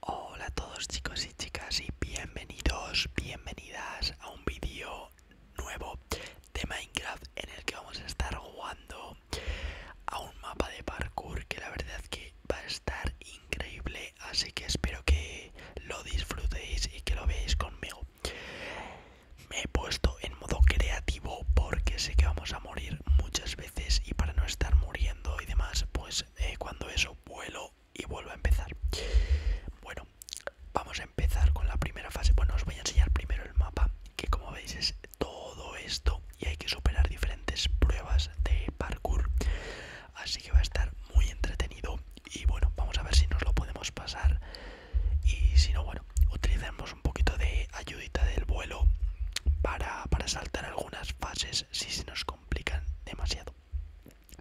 Hola a todos chicos y chicas y bienvenidos, bienvenidas a un vídeo nuevo de Minecraft en el que vamos a estar jugando a un mapa de parkour que la verdad que va a estar increíble así que espero que lo disfrutéis y que lo veáis conmigo. Me he puesto en modo creativo porque sé que vamos a morir muchas veces y para no estar muriendo y demás, pues eh, cuando eso vuelo y vuelvo a empezar. Bueno, vamos a empezar con la primera fase. Bueno, os voy a enseñar primero el mapa, que como veis es todo esto y hay que superar diferentes pruebas de parkour. Así que va a estar muy entretenido y bueno, vamos a ver si nos lo podemos pasar y si no, bueno, utilizaremos un poquito de ayuda del vuelo para, saltar algunas fases si se nos complican demasiado.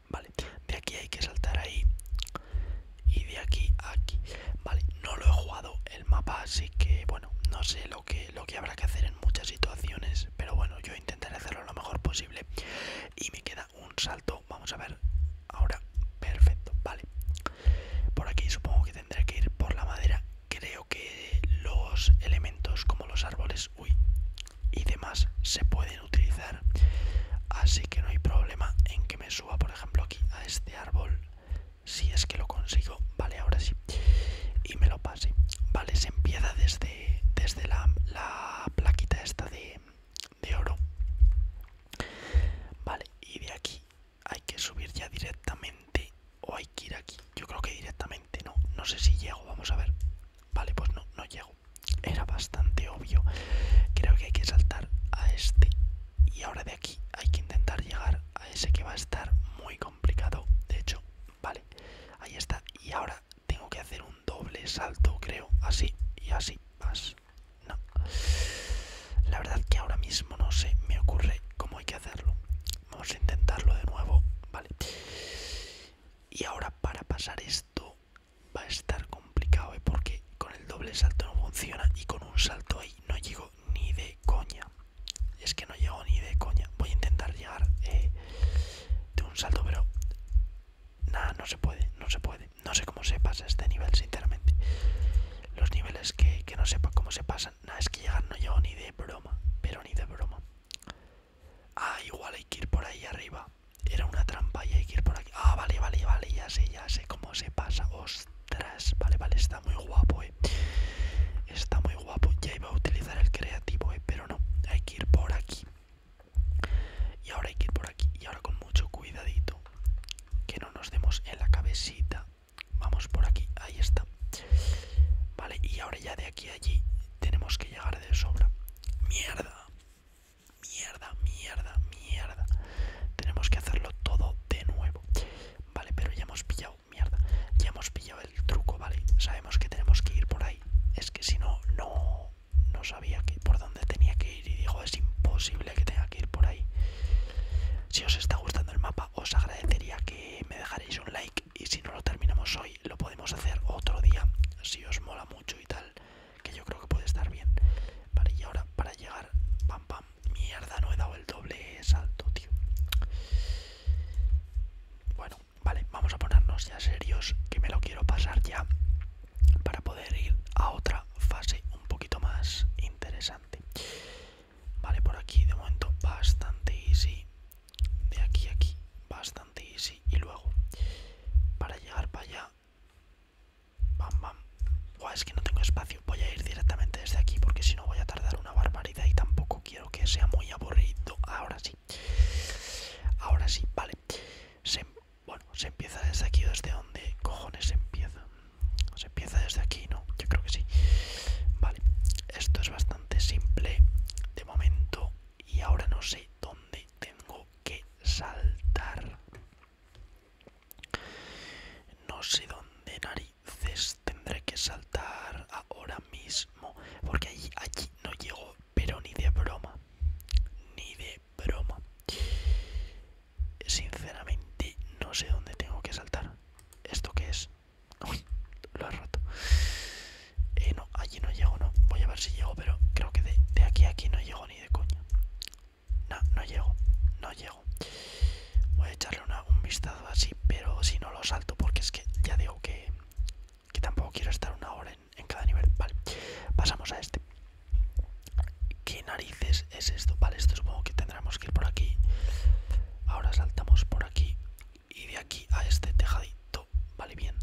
Vale, de aquí hay que saltar ahí y de aquí aquí. Vale, no lo he jugado el mapa, así que bueno, no sé lo que, lo que habrá que hacer en muchas situaciones, pero bueno, yo intentaré hacerlo lo mejor posible. Y me queda un salto, vamos a ver ahora, perfecto, vale. Por aquí supongo que tendré que ir por la madera creo que los elementos como los árboles uy, y demás se pueden utilizar así que no hay problema en que me suba por ejemplo aquí a este árbol si es que lo consigo vale ahora sí y me lo pase vale se empieza desde desde la, plaquita esta de, de oro vale y de aquí hay que subir ya directamente o hay que ir aquí. Yo creo que directamente no. No sé si llego, vamos a ver. Vale, pues no, no llego. Era bastante obvio. Creo que hay que saltar a este. Y ahora de aquí hay que intentar llegar a ese que va a estar muy complicado. De hecho, vale. Ahí está. Y ahora tengo que hacer un doble salto, creo. Así y así. Más. No. La verdad que ahora mismo no sé, me ocurre cómo hay que hacerlo. Vamos a intentarlo de nuevo, vale. Y ahora para pasar esto va a estar complicado, ¿eh? porque con el doble salto no funciona y con un salto ahí no llego ni de coña. Es que no llego ni de coña. Voy a intentar llegar eh, de un salto, pero nada, no se puede, no se puede. No sé cómo se pasa este nivel, sinceramente. Los niveles que, no sepa cómo se pasan, es que llegar no llego ni de broma, pero ni de broma. Ah, igual hay que ir por ahí arriba. Era una trampa y hay que ir por aquí. Ah, vale, vale, vale, ya sé, ya sé cómo se pasa. Ostras, vale, vale, está muy guapo, eh. Está muy guapo. Ya iba a utilizar el creativo, eh, pero no. Hay que ir por aquí. Y ahora hay que ir por aquí. Y ahora con mucho cuidadito. Que no nos demos en la cabecita. Vamos por aquí, ahí está. Vale, y ahora ya de aquí a allí tenemos que llegar de sobra. Mierda, mierda, mierda, mierda. Tenemos que hacerlo todo de nuevo. Vale, pero ya hemos pillado, mierda. Ya hemos pillado el truco, ¿vale? Sabemos que tenemos que ir por ahí. Es que si no, no, no sabía que por dónde tenía que ir y dijo es imposible que tenga que ir por ahí. Si os está gustando el mapa, os agradecería que me dejaréis un like y si no lo terminamos hoy lo podemos hacer otro día si os mola mucho y tal que yo creo que puede estar bien vale y ahora para llegar pam pam mierda no he dado el doble salto tío bueno vale vamos a ponernos ya serios que me lo quiero pasar ya para poder ir a otra fase un poquito más interesante Vale, por aquí de momento bastante easy. De aquí a aquí, bastante easy. Y luego, para llegar para allá, bam, bam. es que no tengo espacio. Voy a ir directamente desde aquí porque si no voy a tardar una barbaridad y tampoco quiero que sea muy aburrido. Ahora sí. Ahora sí, vale. bueno, se empieza desde aquí desde donde cojones empieza. Se empieza desde aquí, ¿no? Yo creo que sí. Vale, esto es bastante simple de momento y ahora no sé dónde tengo que saltar. No sé dónde narices tendré que saltar ahora mismo, porque allí, allí no llego, pero ni de broma, ni de broma. Sinceramente no sé dónde tengo que saltar. ¿Esto qué es? Uy, lo he roto. Eh, no, allí no llego, no. Voy a ver si llego, pero creo que de, aquí a aquí no llego ni de coño No, no llego, no llego. Voy a echarle un vistazo así, pero si no lo salto, porque es que ya digo que, tampoco quiero estar una hora en, en cada nivel. Vale, pasamos a este. ¿Qué narices es esto? Vale, esto supongo que tendremos que ir por aquí. Ahora saltamos por aquí y de aquí a este tejadito, vale bien.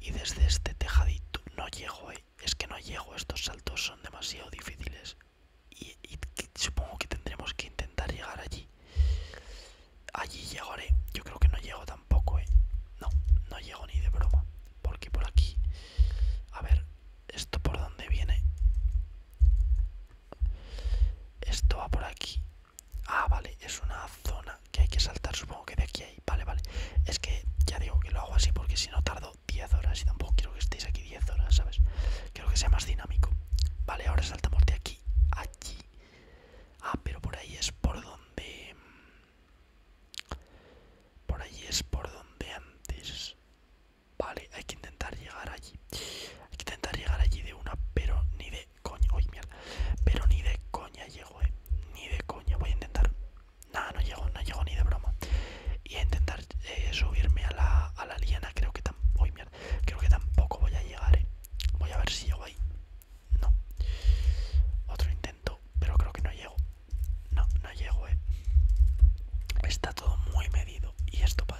Y desde este tejadito no llego, eh. es que no llego, estos saltos son demasiado difíciles. Y, supongo que tendremos que intentar llegar allí. Allí llegaré, yo creo que no llego tampoco, eh. No, no llego ni de broma. Porque por aquí, a ver, esto por dónde viene. Esto va por aquí. Ah, vale, es una zona que hay que saltar, supongo que de aquí ahí. Vale, vale. Es que ya digo que lo hago así porque si no tardo 10 horas y tampoco quiero que estéis aquí 10 horas, ¿sabes? Quiero que sea más dinámico. Vale, ahora saltamos de aquí allí. Ah, pero por ahí es por donde... Por ahí es por donde antes... Vale, hay que intentar llegar allí. Hay que intentar llegar allí de una, pero ni de coña. Uy, mierda. Pero ni de coña llego, eh. Ni de coña. Voy a intentar. Nada, no llego, no llego ni de broma. Y a intentar eh, subirme a la, a la liana. Creo que, tampoco. mierda. Creo que tampoco voy a llegar, eh. Voy a ver si llego ahí. No. Otro intento, pero creo que no llego. No, no llego, eh. Está todo muy medido. Y esto, pa...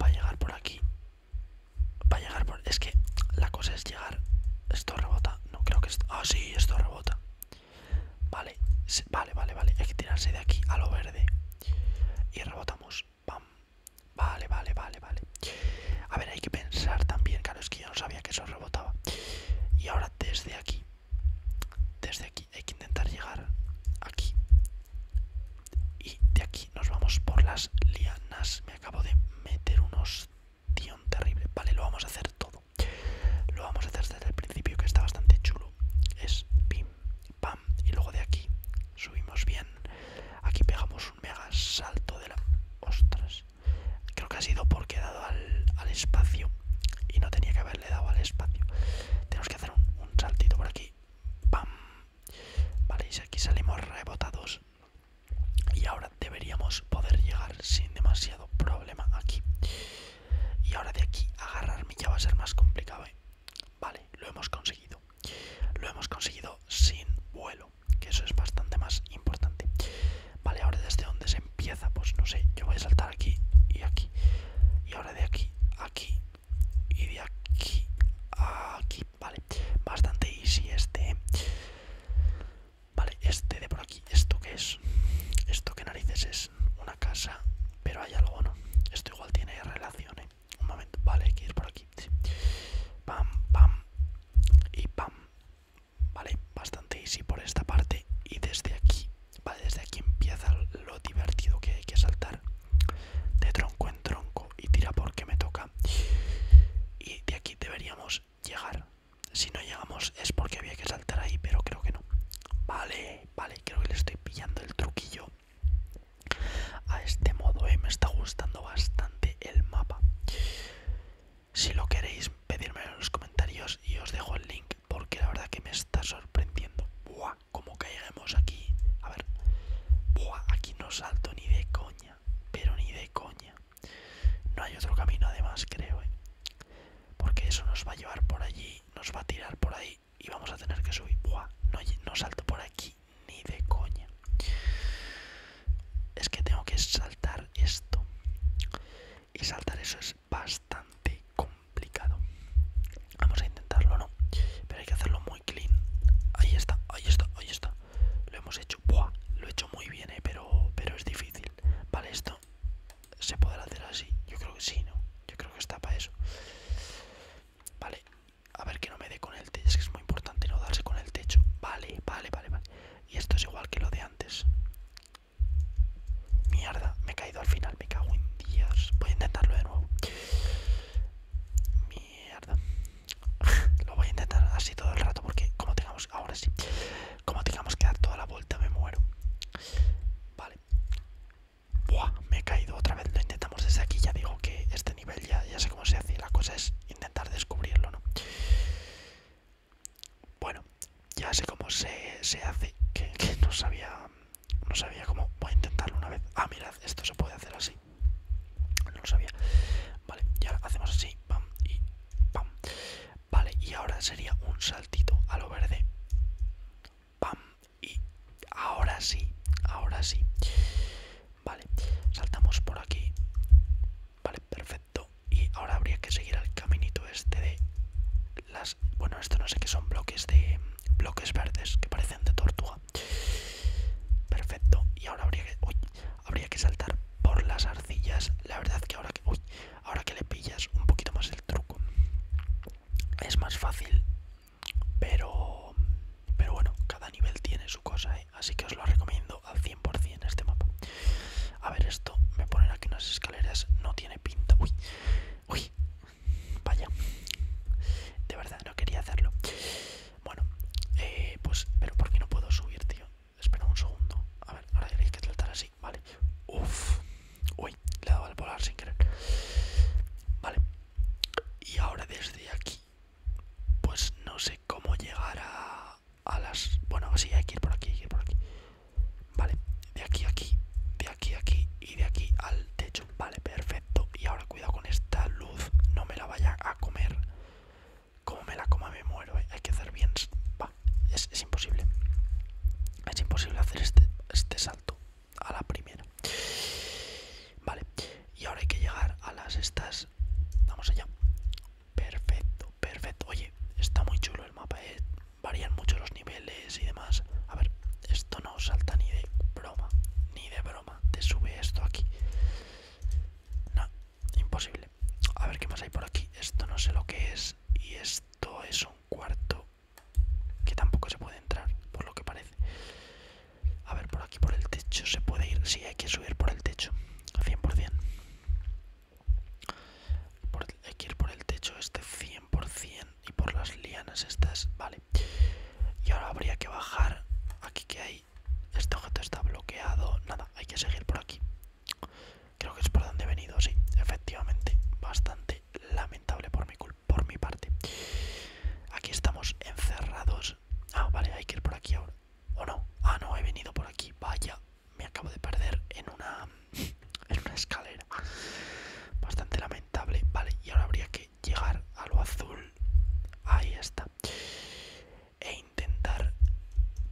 Va a llegar por aquí. va a llegar por... Es que la cosa es llegar... Esto rebota. No creo que esto... Ah, sí, esto rebota. Vale, vale, vale, vale. Hay que tirarse de aquí a lo verde. Y rebotamos. Pam. Vale, vale, vale, vale. A ver, hay que pensar también. Claro, es que yo no sabía que eso rebotaba. Y ahora desde aquí. Desde aquí hay que intentar llegar aquí y de aquí nos vamos por las lianas me acabo de meter unos ostión terrible vale lo vamos a hacer todo lo vamos a hacer desde el principio que está bastante chulo es pim pam y luego de aquí subimos bien aquí pegamos un mega salto de la ostras creo que ha sido porque he dado al, espacio y no tenía que haberle dado al espacio tenemos que hacer un saltito por aquí ¡Pam! Vale, y aquí salimos rebotados. Y ahora deberíamos poder llegar sin demasiado problema aquí. Y ahora de aquí agarrarme ya va a ser más complicado. ¿eh? Vale, lo hemos conseguido. Lo hemos conseguido sin vuelo, que eso es bastante más importante. Vale, ahora desde donde se empieza, pues no sé, yo voy a saltar aquí y aquí. Y ahora de aquí, aquí y de aquí a aquí vale bastante easy este ¿eh? vale este de por aquí esto que es esto que narices es una casa pero hay algo no esto igual tiene relaciones ¿eh? un momento vale hay que ir por aquí pam pam y pam vale bastante easy por esta parte y desde aquí vale desde aquí empieza lo divertido que hay que saltar de tronco en tronco y tira porque me toca. Y de aquí deberíamos llegar. Si no llegamos es porque había que saltar ahí, pero creo que no. Vale, vale, creo que le estoy pillando el truquillo a este modo. Eh. Me está gustando bastante el mapa. Si lo queréis, pedírmelo en los comentarios y os dejo el link porque la verdad que me está sorprendiendo. ¡Buah! como caigamos aquí. A ver. aquí no salto ni de coña. Pero ni de coña. No hay otro camino además, creo, ¿eh? Porque eso nos va a llevar por allí, nos va a tirar por ahí y vamos a tener que subir. no, no salto por aquí ni de coña. Es que tengo que saltar esto. Y saltar eso es bastante complicado complicado. Vamos a intentarlo, ¿no? Pero hay que hacerlo muy clean. Ahí está, ahí está, ahí está. Lo hemos hecho. Buah, lo he hecho muy bien, ¿eh? Pero, pero es difícil. Vale, esto se podrá hacer así. Yo creo que sí, ¿no? Yo creo que está para eso. Vale, a ver que no me dé con el techo. Es que es muy importante no darse con el techo. Vale, vale, vale, vale. Y esto es igual que lo de antes. Mierda, me he caído al final me cago en días. Voy a intentarlo de nuevo. Mierda. Lo voy a intentar así todo el rato porque como tengamos, ahora sí, como tengamos que dar toda la vuelta me muero. Vale. Buah, me he caído otra vez. Lo intentamos desde aquí. Ya digo que este nivel ya, ya sé cómo se hace. La cosa es intentar descubrirlo, ¿no? Bueno, ya sé cómo se, hace. que no sabía no sabía cómo. Voy a intentarlo una vez. Ah, mirad, esto se puede hacer así. No lo sabía. Vale, y ahora hacemos así. Pam y pam. Vale, y ahora sería un saltito a lo verde. Pam y ahora sí. Ahora sí. Vale, saltamos por aquí. Vale, perfecto. Y ahora habría que seguir al caminito este de las... Bueno, esto no sé qué son bloques de bloques verdes que parecen de tortuga. Perfecto. Y ahora habría que, saltar por las arcillas. La verdad que ahora que, ahora que le pillas un poquito más el truco es más fácil. Pero, pero bueno, cada nivel tiene su cosa, ¿eh? así que os lo recomiendo al 100% este mapa. A ver esto, me ponen aquí unas escaleras, no tiene pinta. Uy, uy, Vaya, de verdad no quería hacerlo. Bueno, eh, pues, pero porque no puedo subir, tío? Espera un segundo. A ver, ahora tenéis que tratar así, vale. Uf, uy, le he dado al volar sin querer. Vale, y ahora desde aquí, pues no sé cómo llegar a, a las. Bueno, sí, hay que ir por aquí, hay que ir por aquí. Vale, de aquí a aquí, de aquí a aquí y de aquí al techo. Vale, perfecto. Y ahora cuidado con esta luz. No me la vaya a comer. Como me la coma me muero. ¿eh? Hay que hacer bien. es, imposible. Es imposible hacer este, este, salto a la primera. Vale. Y ahora hay que llegar a las estas. Vamos allá. Perfecto, perfecto. Oye, está muy chulo el mapa. ¿eh? varían mucho los niveles y demás. A ver, esto no salta ni de broma, ni de broma. Te sube esto aquí. No, imposible. A ver qué más hay por aquí. Esto no sé lo que es. Y esto es un cuarto que tampoco se puede entrar, por lo que parece. A ver, por aquí, por el techo, se puede ir. Sí, hay que subir por el techo, 100%. hay que ir por el techo este 100%. Y por las lianas estas, vale. Y ahora habría que bajar. Aquí que hay. Este objeto está bloqueado. Nada, hay que seguir por aquí. Creo que es por donde he venido, sí. Efectivamente, bastante lamentable por mi, culpa por mi parte. Aquí estamos encerrados. Ah, vale, hay que ir por aquí ahora. ¿O no? Ah, no, he venido por aquí. Vaya, me acabo de perder en una es una escalera. Bastante lamentable. Vale, y ahora habría que llegar a lo azul. Ahí está. E intentar,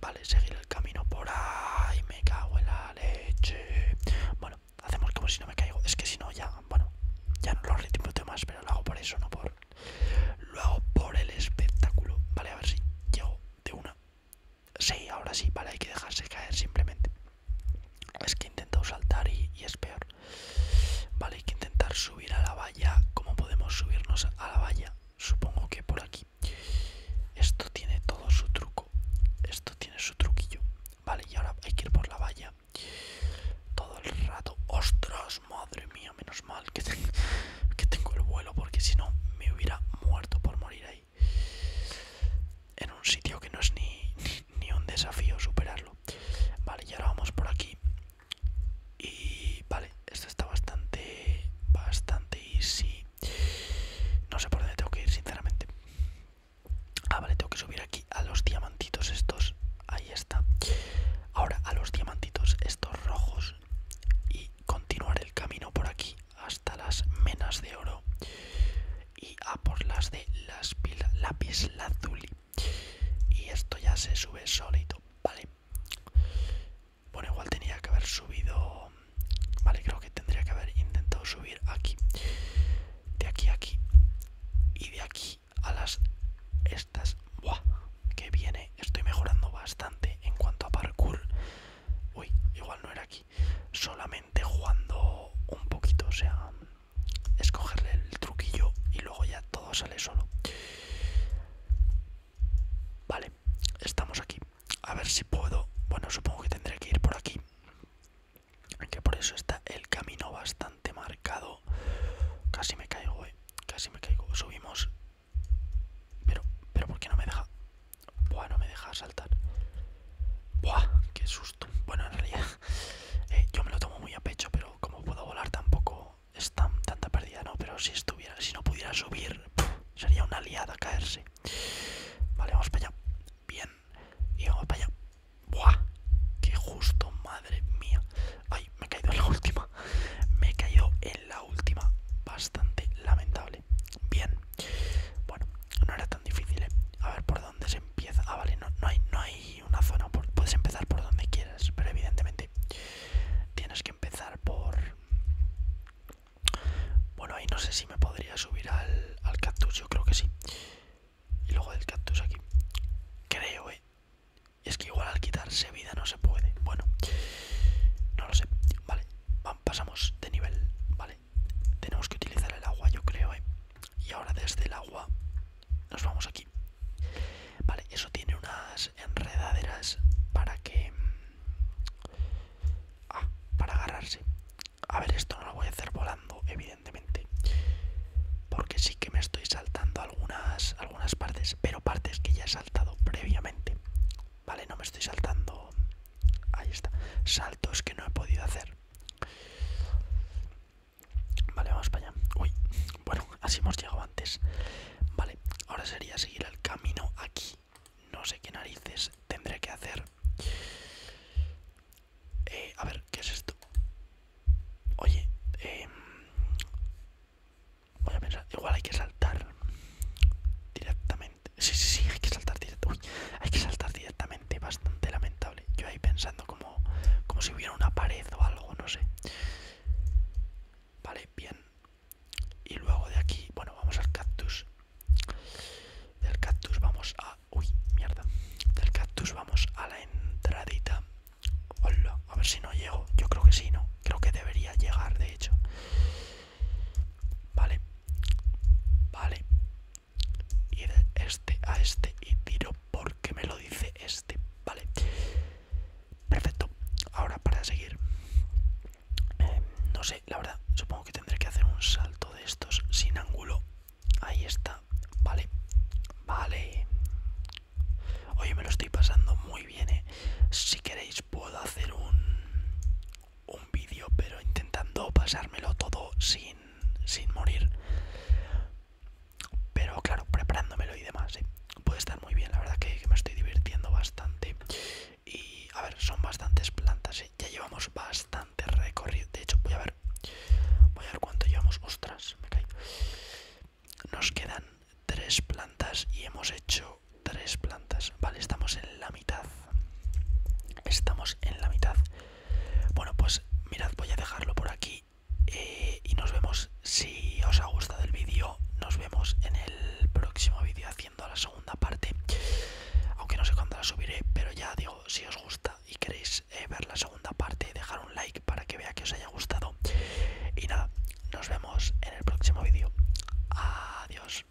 vale, seguir el camino por ahí. Me cago en la leche. Bueno, hacemos como si no me caigo. Es que si no, ya, bueno, ya no lo de más, pero lo hago por eso, no por. Lo por el espectáculo. Vale, a ver si llego de una. Sí, ahora sí, vale, hay que dejarse caer simplemente. Es que he intentado saltar y, es peor. Vale, hay que intentar subir a la valla. ¿Cómo podemos subirnos a la valla? Supongo que por aquí. Esto tiene todo su truco. Esto tiene su truquillo. Vale, y ahora hay que ir por la valla. Todo el rato. ¡Ostras! Madre mía, menos mal que, que tengo el vuelo porque si no me hubiera muerto por morir ahí en un sitio que no es ni, un desafío superarlo. Vale, y ahora vamos por aquí. Y vale, esto está bastante, bastante easy. No sé por dónde tengo que ir, sinceramente. Ah, vale, tengo que subir aquí a los diamantitos estos. Ahí está. Ahora a los diamantitos estos rojos y continuar el camino por aquí hasta las menas de oro y a por las de las pilas, lápiz lazuli. Y esto ya se sube solito, ¿vale? Bueno, igual tenía que haber subido... Vale, creo que tendría que haber intentado subir aquí. De aquí a aquí. Y de aquí a las... Estas... Buah, que viene. Estoy mejorando bastante en cuanto a parkour. Uy, igual no era aquí solamente jugando un poquito, o sea, escogerle el truquillo y luego ya todo sale solo. Vale, estamos aquí. A ver si puedo. Bueno, supongo que tendré que ir por aquí. Que por eso está el camino bastante marcado. Casi me caigo, eh. Casi me caigo. Subimos. Pero, pero ¿por qué no me deja? Buah, no me deja saltar. Buah, qué susto. Bueno, en realidad eh, yo me lo tomo muy a pecho, pero como puedo volar tampoco es tanta pérdida, ¿no? Pero si estuviera, si no pudiera subir, sería una liada caerse. Vale, vamos para allá. Bien. Y vamos para allá. Buah, qué justo, madre mía. Ay, me he caído en la última. Me he caído en la última. Bastante lamentable. Bien. Bueno, no era tan difícil, ¿eh? A ver, por dónde se empieza. Ah, vale, no, no, hay, no hay una zona. puedes empezar por donde quieras, pero evidentemente tienes que empezar por... Bueno, ahí no sé si me podría subir al, al cactus, yo creo que sí. Y luego del cactus aquí. Creo, eh. es que igual al quitarse vida no se puede. Bueno, no lo sé. Vale, pasamos de nivel. Vale, tenemos que utilizar el agua, yo creo, ¿eh? Y ahora desde el agua nos vamos aquí. Vale, eso tiene unas enredaderas para que... Mm, ah, para agarrarse. A ver, esto no lo voy a hacer volando, evidentemente. Porque sí que me estoy saltando algunas, algunas partes, pero partes que ya he saltado previamente. Vale, no me estoy saltando... Ahí está. Saltos que no he podido hacer. Vale, vamos para allá. Uy, bueno, así hemos llegado antes. Vale, ahora sería seguir el camino aquí. No sé qué narices tendré que hacer. Eh, a ver, ¿qué es esto? Oye, em, voy a pensar, igual hay que saltar directamente. Sí, sí, sí, hay que saltar directamente. Hay que saltar directamente, bastante lamentable. Yo ahí pensando como, como si hubiera una pared o algo, no sé. Vale, bien. Y luego de aquí, bueno, vamos al cactus. Del cactus vamos a... Uy, mierda. Del cactus vamos a la entradita. Hola, a ver si no llego. Yo creo que sí, ¿no? Creo que debería llegar, de hecho. Vale. Vale ir este a este y tiro porque me lo dice este, ¿vale? Perfecto, ahora para seguir, eh, no sé, la verdad, supongo que tendré que hacer un salto de estos sin ángulo. Ahí está, vale, vale. Oye, me lo estoy pasando muy bien, ¿eh? Si queréis puedo hacer un un vídeo pero intentando pasármelo todo sin, sin morir pero claro preparándomelo y demás ¿eh? puede estar muy bien la verdad que, me estoy divirtiendo bastante y a ver son bastantes plantas ¿eh? ya llevamos bastante recorrido de hecho voy a ver voy a ver cuánto llevamos ostras me caí nos quedan tres plantas y hemos hecho tres plantas vale estamos en la mitad. Estamos en la mitad. Bueno, pues mirad, voy a dejarlo por aquí. Eh, y nos vemos. Si os ha gustado el vídeo, nos vemos en el próximo vídeo haciendo la segunda parte. Aunque no sé cuándo la subiré, pero ya digo, si os gusta y queréis eh, ver la segunda parte, dejar un like para que vea que os haya gustado. Y nada, nos vemos en el próximo vídeo. Adiós.